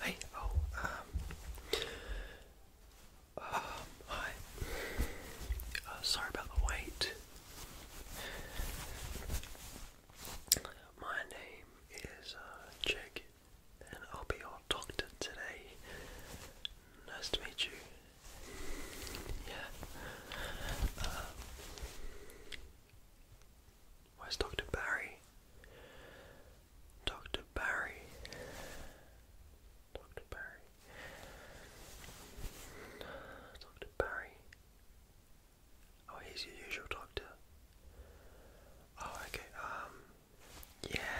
Hey, oh, um, uh, hi. Uh, sorry about the wait. My name is uh, Jake, and I'll be your doctor today. Nice to meet you. Yeah. Uh, where's Dr. Barry? Dr. Barry. Dr. Barry. Dr. Barry. Oh, he's your usual doctor. Oh, okay. Um, yeah,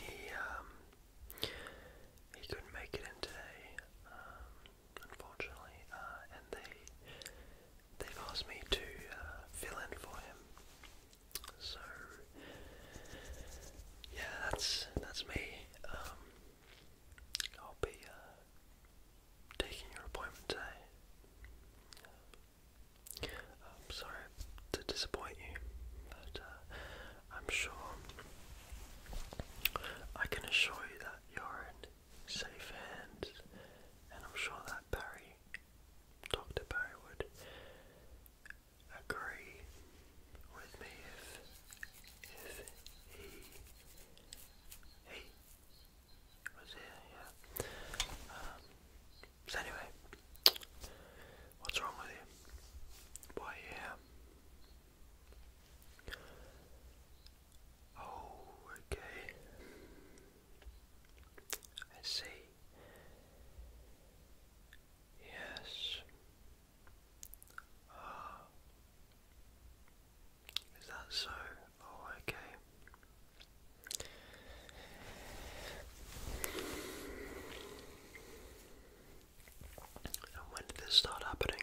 he, um, he couldn't make it in today. Um, unfortunately, uh, and they they've asked me to uh, fill in for him. So yeah, that's that's me. Um, I'll be uh, taking your appointment today. I'm um, sorry to disappoint you, but I'm sure I can assure you that you're in safe hands, and I'm sure that Barry, Dr. Barry, would agree with me if, if he, he was here, yeah. Um, so anyway, what's wrong with you? Why are Oh, okay. I see. Yes. Ah. Is that so? Oh, okay when did this start happening?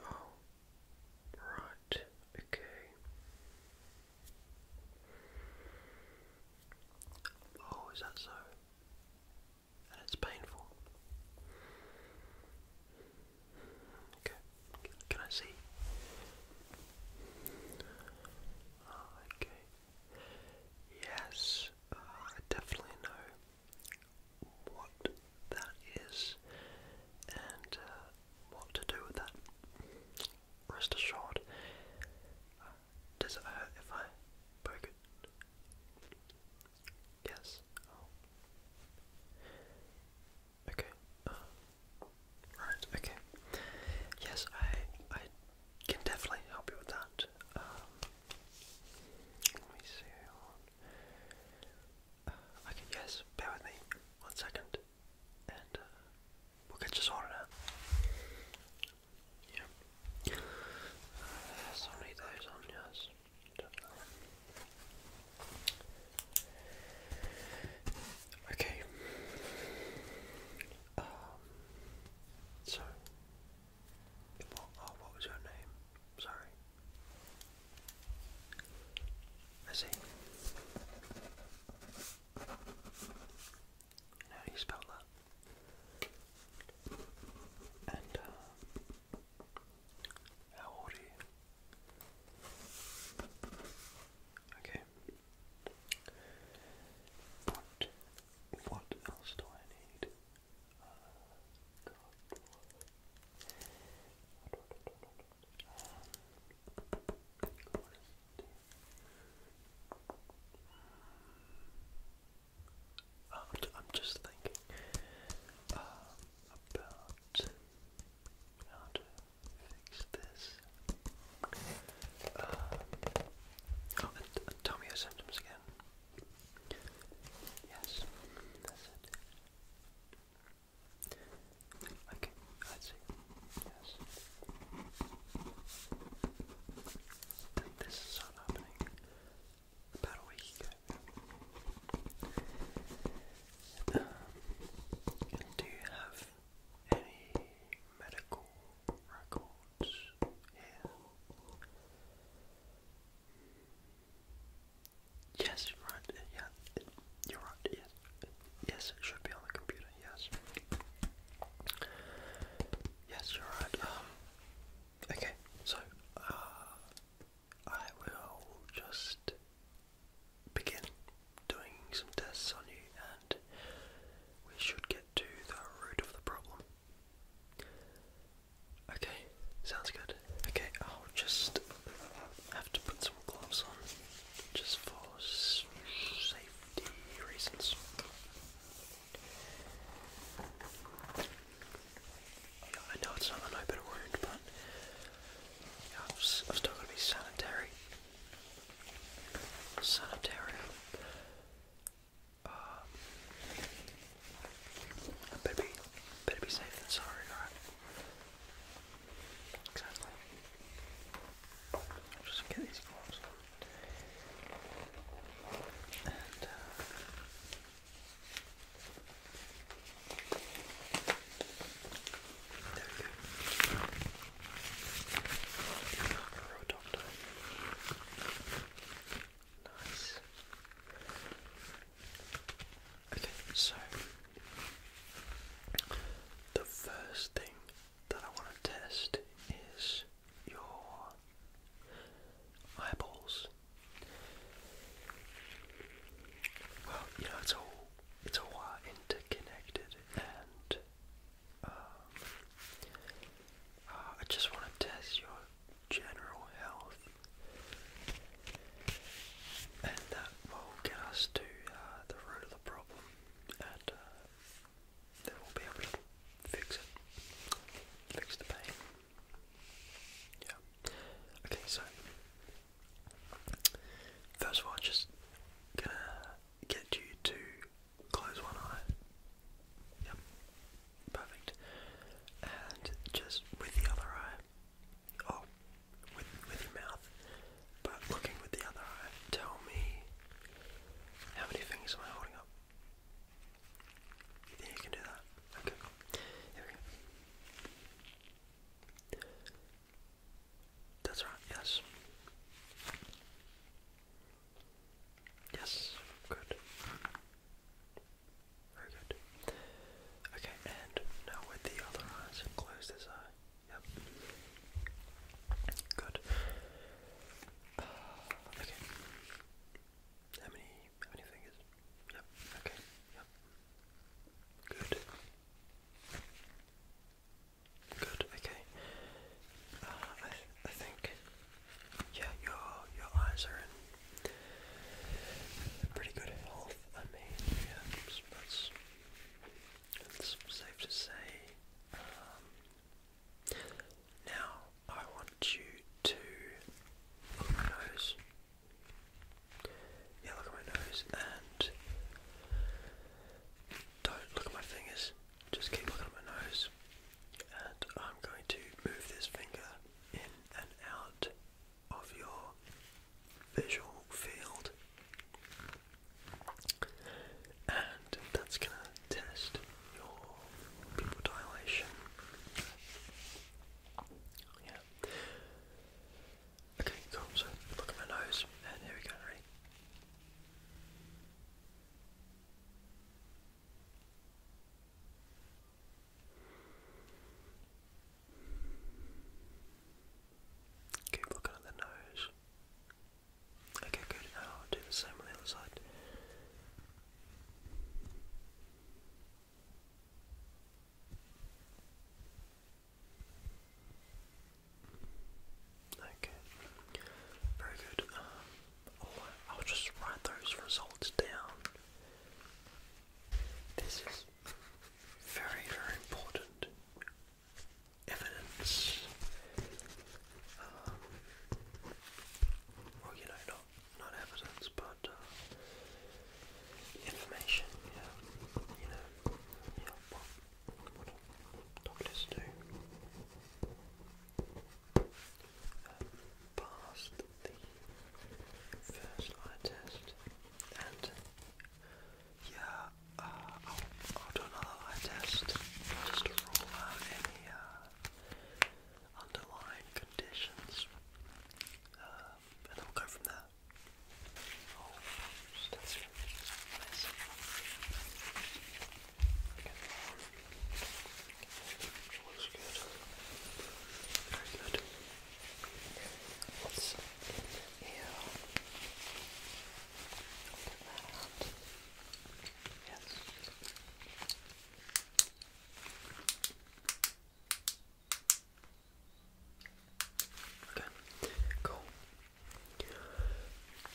Oh, right, okay. Oh, is that so? And it's painful. Okay, can I see? Oh, okay. Yes, uh, I definitely know what that is and uh, what to do with that. Rest assured. Uh, does it hurt if I poke it? Yes. Oh. Okay. right. Okay. Yes, I. I can definitely help you with that. Um, let me see. Uh, okay, yes, bear with me one second, and uh, we'll get you sorted out. Yeah. Uh, yes, i on, yes. Okay. Um, so, what, oh, what was your name? Sorry. I see. Now you spell that. And, uh, how old are you? Okay, but what else do I need? Uh, I'm just thinking uh, about how to fix this. Um, tell me your symptoms again. Yes, Okay, I see. Yes. this is happening about a week ago. Um, do you have any medical records? Yes, right, yeah, you're right, yes. yes, it should be on the computer, yes. Yes, you're right. Um, okay, so uh, I will just begin doing some tests on you we should get to the root of the problem. Okay, sounds good. Okay, I'll just have to put some gloves on just for safety reasons. I know it's not an open wound, but yeah, I've, still going to be sanitary. Sanitarium. Um, better be, better be safe than sorry, alright? Exactly. just get these gloves uh, there we go. Okay, so the first thing that I want to test is your eyeballs. Well, you know, it's all it's all interconnected and um, uh, I just want to test your general health, and that will get us to uh, the root of the problem, and uh, we'll be able to fix it, fix the pain. Yeah. Okay, so first of all, I'm just gonna get you to Close one eye. Yep. Perfect. And just with the other eye. Oh, with with your mouth. But looking with the other eye. Tell me how many fingers am I holding up? You can do that? Okay. Here we go. That's right, yes. Yes, good. Very good. Okay, and now with the other eye, close this eye. Yep. Good. okay. How many how many fingers? Yep, okay, yep. Good. Good. Okay. Uh, I, I think. Yeah, your your eyes are in pretty good health. I mean, yeah, it's, it's, safe to say. Um, now I want you to look at my nose. Yeah, look at my nose and don't look at my fingers, just keep looking at my nose. And I'm going to move this finger in and out of your visual field. And that's going to test your pupil dilation. Yeah. Okay, cool. So look at my nose, and here we go. Keep looking at the nose. Okay, good. Now I'll do the same on the other side. Okay. Very good. Um, I'll just write those results down. This is very, very important evidence. Um, you know, not not evidence, but uh, information. Yeah, you know, yeah. Well, um, past the first eye test and yeah, uh, I'll, do another eye test just to rule out any uh, underlying conditions um, and I'll go from there. Oh, that's good. Nice. Okay. Looks good. Very good. What's in here? Look at that. Yes. Okay. Okay, cool.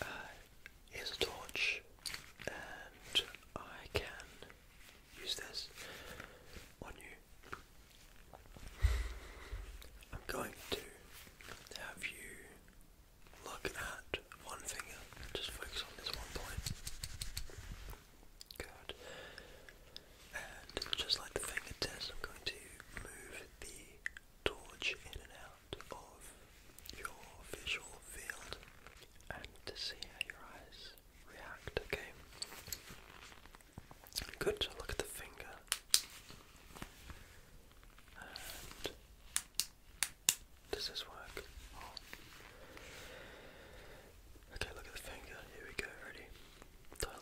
Uh, here's a torch, and I can use this on you. I'm going to have you look at one finger, just focus on this one point. Good. And just like the finger test, I'm going to move the dodge in and out of your visual field and to see how your eyes react, okay? Good, look at the finger. does this work? Okay, look at the finger. Here we go, ready?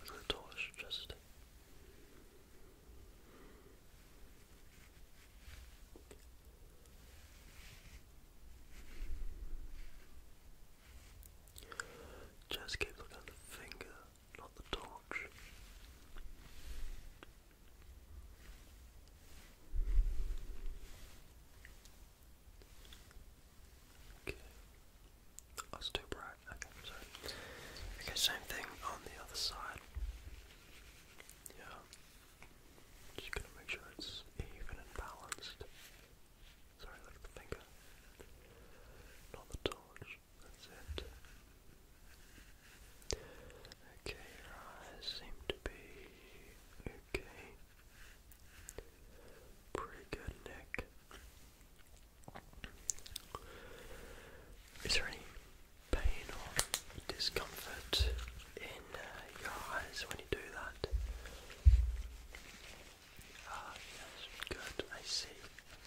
do the torch, just just keep looking at the finger, not the torch. Okay. That's oh, too bright. Okay, so okay, same thing on the other side. Yeah, just gonna make sure it's even and balanced. Sorry, look at the finger, not the torch. That's it. Okay, your eyes seem to be okay. Pretty good, Nick. Is there any pain or discomfort in uh, your eyes when you do that? Ah, yes, good, I see,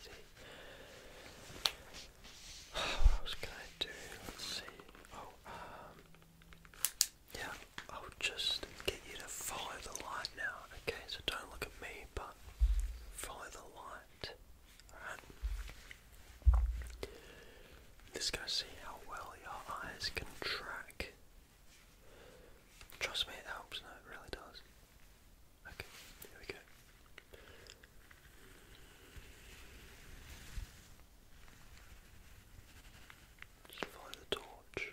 see. What else can I do? Let's see. Oh, um, yeah, I'll just get you to follow the light now, okay? So don't look at me, but follow the light talent. Alright. This see how well your eyes can track. Trust me, it helps. No, it really does. Okay, here we go. Just follow the torch.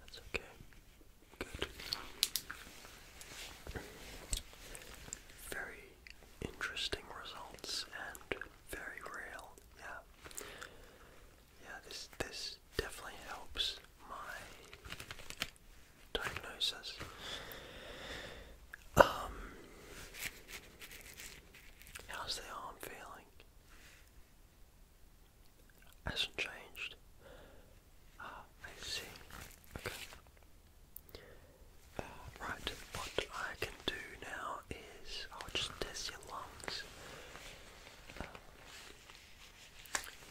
That's okay. Good. Very interesting results and very real. Yeah. Yeah, this this definitely helps my diagnosis. Um How's the arm feeling? hasn't changed. Ah, I see. Okay. Uh, right, what I can do now is I'll just test your lungs.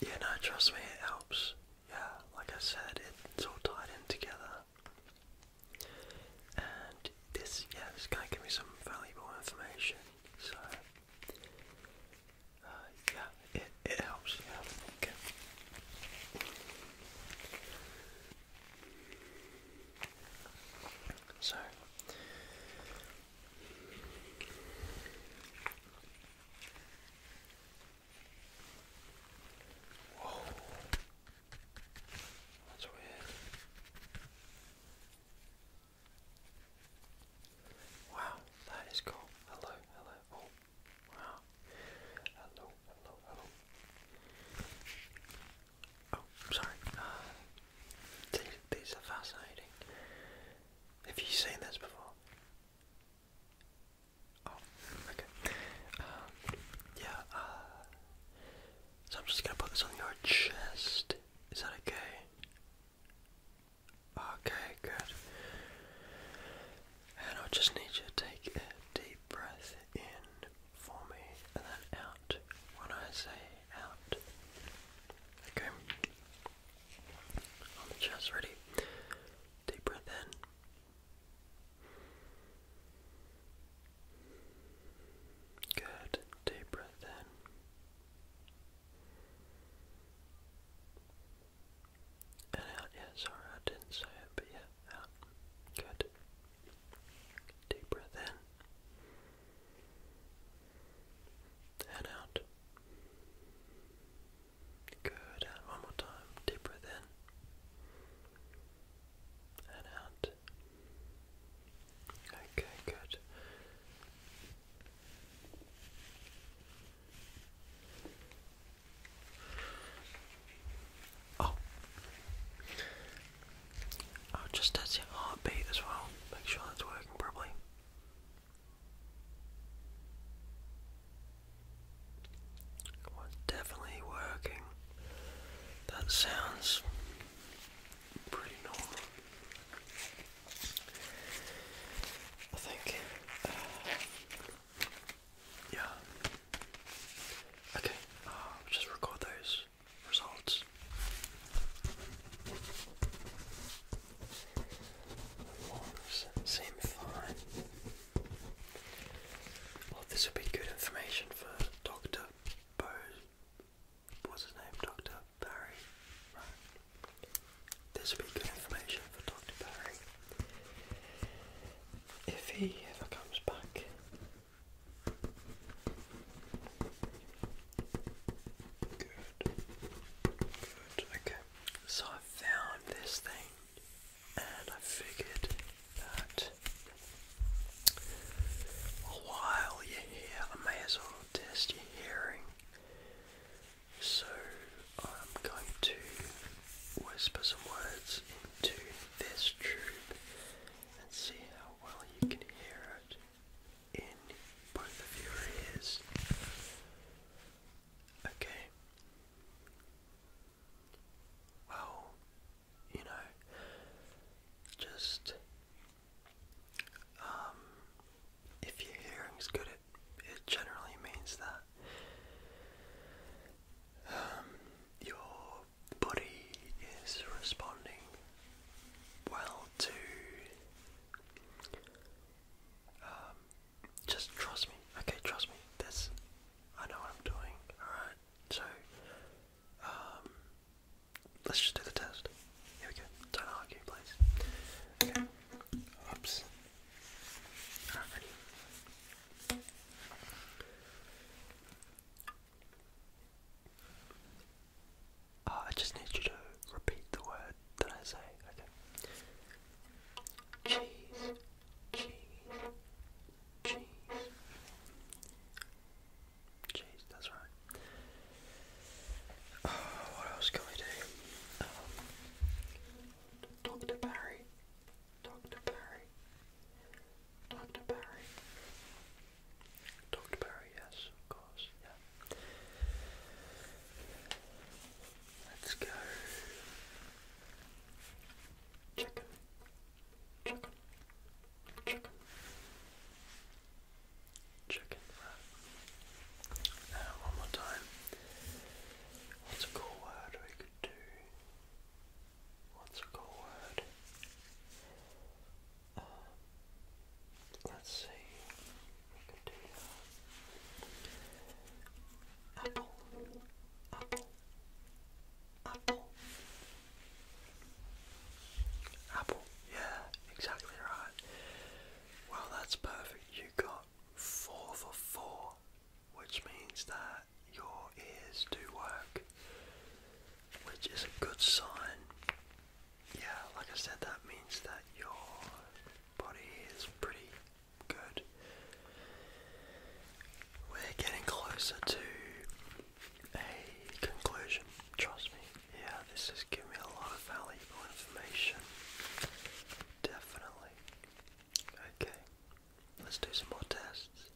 yeah, no, trust me, it helps. Yeah, like I said, it's all tied in together. And this, yeah, this guy gave me some valuable information. So, uh, yeah, it, helps, yeah, So, that's weird. Wow, that is cool. Hello, hello. Oh, wow. Hello, hello, hello. Oh, sorry. Uh, these, are fascinating. Have you seen this before? Oh, okay. Um, yeah, uh, so I'm just gonna put this on your chest. Is that okay? Okay, good. And I just need you to take a deep breath in for me and then out when I say out. Okay. On the chest, ready? Deep breath in. Good. Deep breath in. And out, yeah, sorry, I didn't say it, but yeah, out. Good. Deep breath in. And out. Good. one more time. Deep breath in and out. Okay, good. Oh, i oh, just test your heartbeat as well. Make sure that's working properly. it's definitely working. That sounds pretty normal. I think. Uh, yeah. Okay, just record those results. Lungs seem fine. Well, this would be good information for Dr. Bo. What's his name? Dr. Barry. Right. This would be good information for Dr. Barry. If he ever comes back. Good. Good. Okay. So I found this thing and I figured that while you're here, I may as well test your hearing. So I'm going to whisper some words into this tube and see how well you can hear it in both of your ears. Okay. Well, you know, just um, if your hearing's good, it, generally means that um, your body is responding well to. Um, just trust me, okay? Trust me. This, I know what I'm doing. All right. So, um, let's just do the test. Here we go. Don't argue, please. Okay. Oops. ready. Uh, I just need you to repeat the word that I say. Okay. Cheese, cheese, Cheese. Cheese, that's right. Oh, what else can we do? Um, Dr. Barry. Dr. Barry. Dr. Barry. Dr. Barry, yes, of course, yeah. Let's go chicken, chicken, chicken, chicken one more time. What's a cool word we could do? What's a cool word? Um, let's see. We could do uh, Apple. Apple. Apple. Apple, yeah, exactly right. Well, that's perfect. You got four for four, which means that your ears do work, which is a good sign. Yeah, like I said, that means that your body is pretty Good. We're getting closer to a conclusion, trust me. Yeah, this has given me a lot of valuable information. Definitely. Okay, let's do some more tests.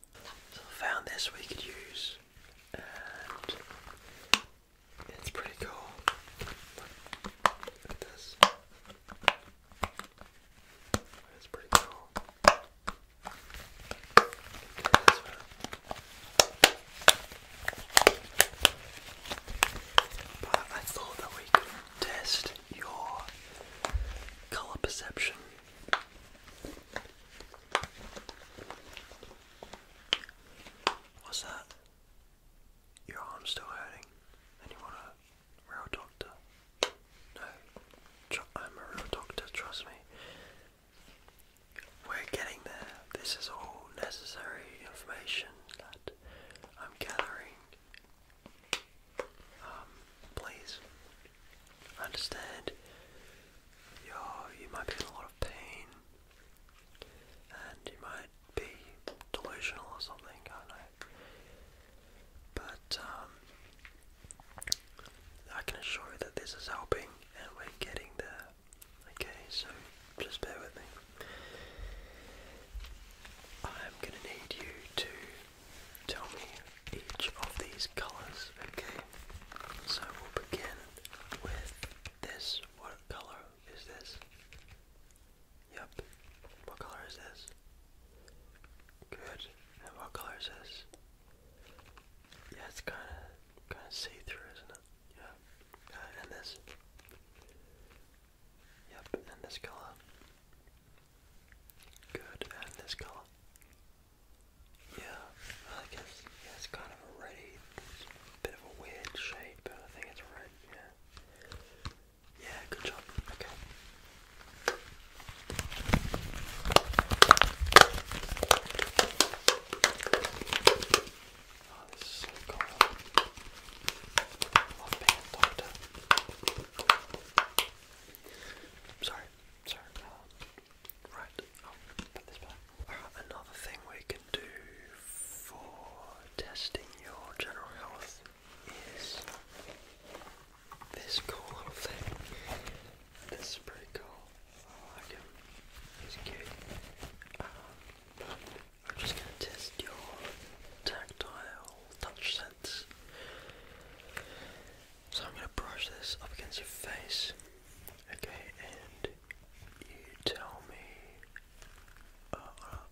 So I found this we could use, and it's pretty cool. look at this. It's pretty cool. I thought that we could test your colour perception. What's that? Your arm's still hurting, and you want to Real doctor. No, I'm a real doctor, trust me. We're getting there. This is all necessary information that I'm gathering. Um, please understand you you might be in a lot of pain and you might be delusional or something, I know. But um, I can assure you that this is helping and we're getting there. Okay, so just bear with me. I'm gonna need you to tell me each of these colours, okay? So we'll begin with this. What colour is this? Yep. What colour is this? Good. And what color is Yeah, it's kind of kind of see-through, isn't it? Yeah. and this. Yep. And this color. Good. And this color. Yeah. I guess yeah, it's kind of a red. bit of a weird shape, but I think it's red. Yeah. Yeah, good job. Okay. Oh, this is so cool. love being a doctor. Sorry, sorry. Uh, right, i put this back. Uh, another thing we can do for testing your general health is this cool little thing. This is pretty cool. Oh, I like him. He's cute. Um, I'm just gonna test your tactile touch sense. So I'm gonna brush this up against your face. Okay, and you tell me uh,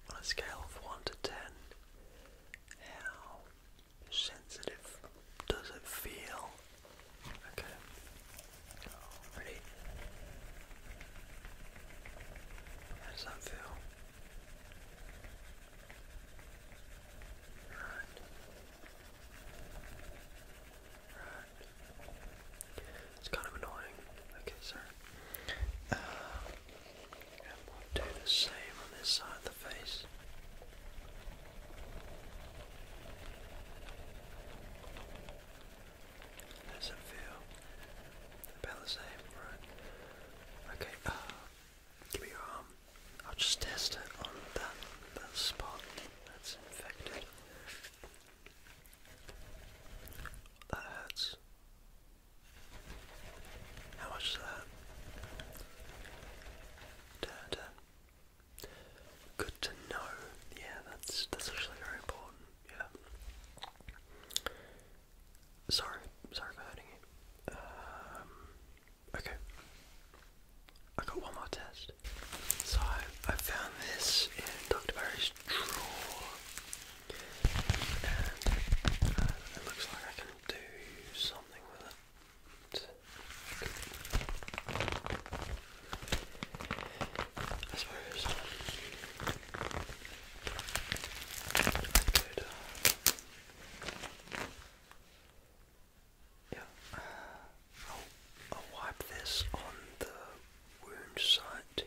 on a scale of one to ten how sensitive does it feel? Okay. Ready? How does that feel? Right. Right. It's kind of annoying. Okay, sorry. Uh, do the same on this side of the face. Does it feel about the same? Right. Okay, uh, give me your arm. I'll just test it on that, that spot that's infected. That hurts. How much that? Good to know. Yeah, that's that's actually very important. Yeah. Sorry, sorry for hurting you. Um, okay. I got one more test. So I, I found this in Dr. Barry's drawer it looks like I can do something with it. I suppose uh, yeah, I'll wipe this on the wound site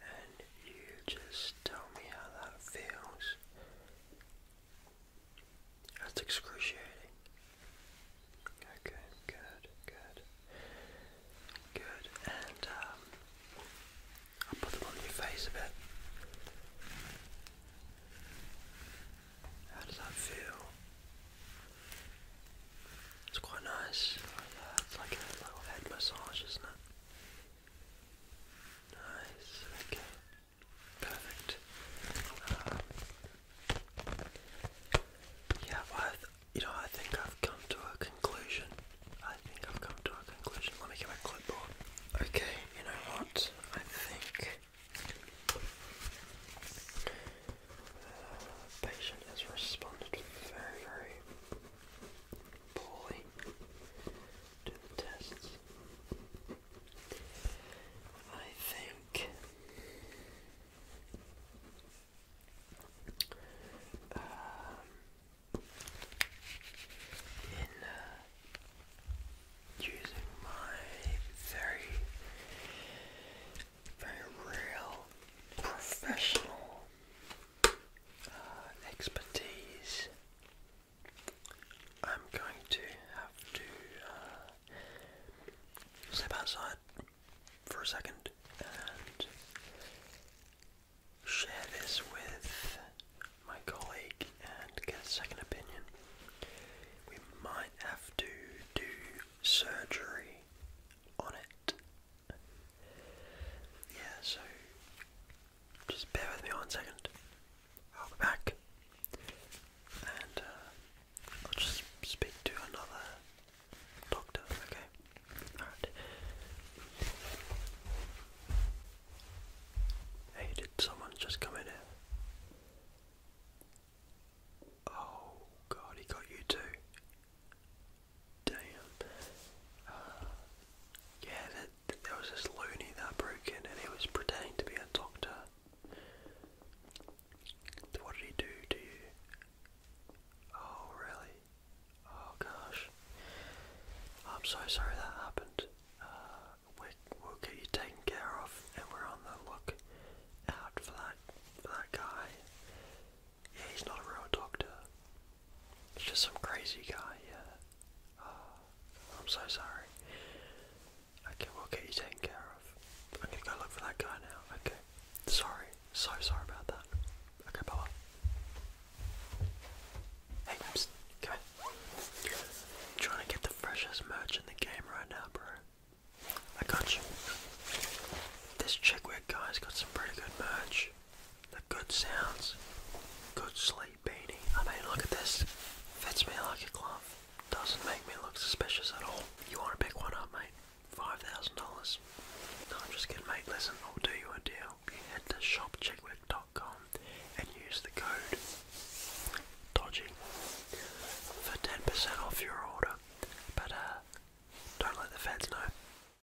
and you just tell me how that feels. That's excruciating. Okay, good, good. Good, and um, I'll put them on your face a bit. How does that feel? It's quite nice. It's like a little head massage, isn't it? Nice. Okay. Perfect. Um, yeah, you know, I think I've come to a conclusion. I think I've come to a conclusion. Let me get my clipboard. Okay, you know what? I think the uh, patient has responded very, very poorly do tests. I think um, in uh, my very, very real professional uh, expertise, I'm going to have to uh, step outside for a second and share this with my colleague and get a second opinion. We might have to do surgery on it yeah, so just bear with me one second. I'll be back and uh, I'll just speak to another doctor, okay? Hey, did someone just come in here? Oh god, he got you too. Damn. Uh, yeah, there, there was this loony that broke in and he was pretending to be a doctor. What did he do to you? Oh, really? Oh, gosh. I'm so sorry that happened. Uh, we'll get you taken care of and we're on the look out for that, for that guy. Yeah, he's not a real doctor. He's just some crazy guy, yeah. Uh, I'm so sorry. Okay, we'll get you taken care of. I'm gonna go look for that guy now. Okay. Sorry. So sorry about that. Okay, bye bye. Hey, psst, come here. i trying to get the freshest merch in the game right now, bro. I got you. This chick wig guy's got some pretty good merch the good sounds, good sleep beanie. I mean, look at this. Fits me like a glove. Doesn't make me look suspicious at all. You want to pick one up, mate? $5,000. No, I'm just kidding, mate. Listen, I'll do you a deal. You head to shopchickwick.com and use the code DODGY for 10% off your order. But, uh, don't let the feds know.